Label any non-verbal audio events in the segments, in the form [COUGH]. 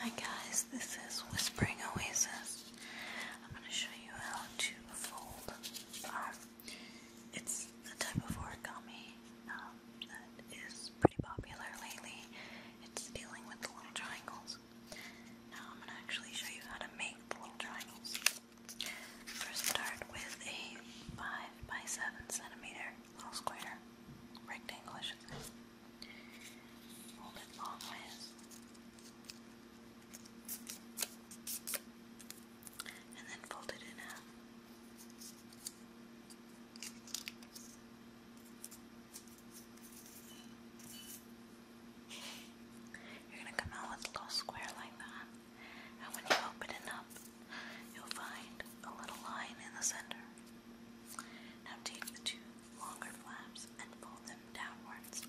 Hi guys, this is Whispering Oasis. I'm going to show you how to fold. Um, it's a type of origami um, that is pretty popular lately. It's dealing with the little triangles. Now I'm going to actually show you how to make the little triangles. First start with a 5 by 7 centimeter little square rectangle, Fold it long ways. And then fold it in half. You're going to come out with a little square like that and when you open it up, you'll find a little line in the center. Now take the two longer flaps and fold them downwards.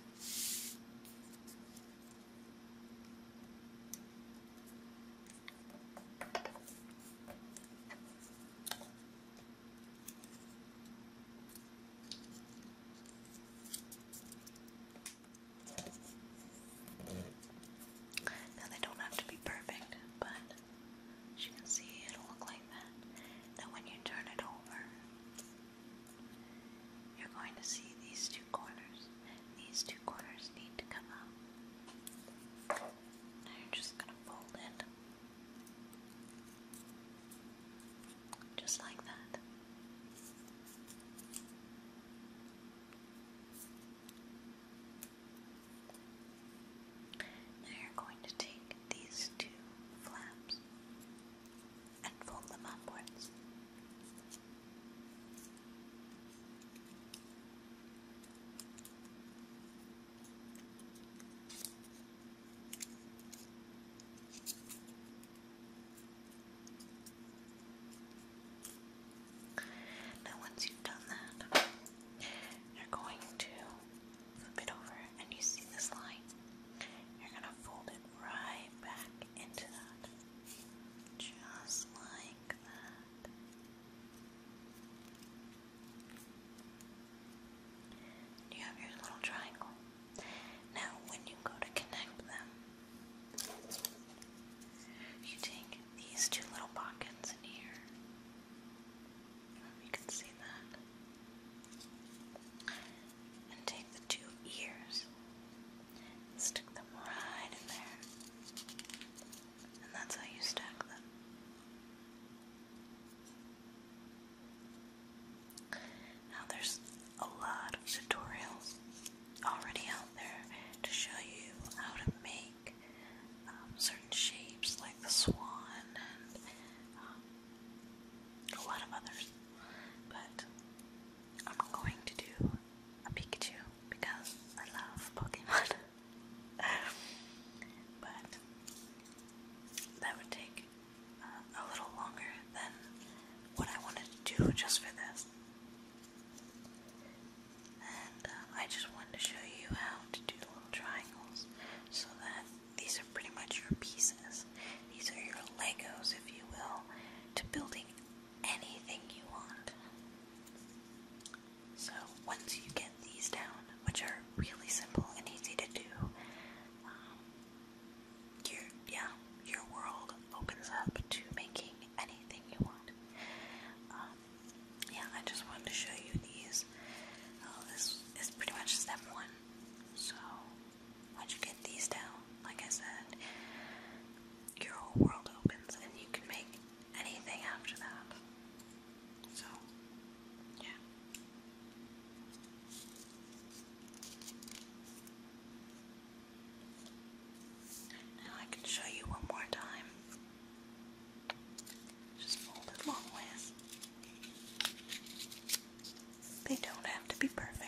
Now they don't have to be perfect, but you can see, it'll look like that. Now when you turn it over, you're going to see these two corners. These two corners need to come up. Now you're just going to fold it. Just like that. Now you're going to take these two flaps and fold them upwards. Now once you've done that, you're going to flip it over and you see this line. You're going to fold it right back into that. Just like that. You have your little triangle. Now, when you go to connect them, you take these two little pockets in here. You can see that. And take the two ears stick them right in there. And that's how you stack them. Now there's a lot of tutorials already out there to show you how to make um, certain shapes like the swan and um, a lot of others. But I'm going to do a Pikachu because I love Pokemon. [LAUGHS] but that would take uh, a little longer than what I wanted to do just for this. And uh, I just wanted to show you how to do little triangles so that these are pretty much your pieces. These are your Legos, if you will, to building anything you want. So once you get these down, which are really simple and easy to do, um, your yeah, your world opens up to making anything you want. Um, yeah, I just wanted to show you these. Uh, this is pretty much step one. So once you get these down, like I said, your whole world opens and you can make anything after that. So, yeah. Now I can show you one more time. Just fold it long They don't have to be perfect.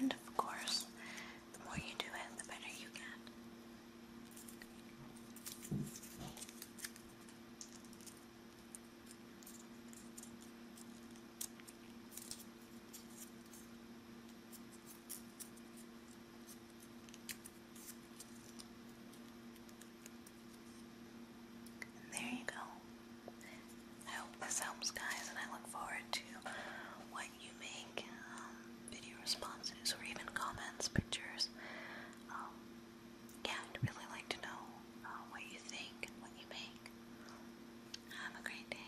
And of course, the more you do it, the better you get. And there you go. I hope this helps, guys, and I look forward to what you make um, video responses or even comments, pictures. Um, yeah, I'd really like to know uh, what you think and what you make. Have a great day.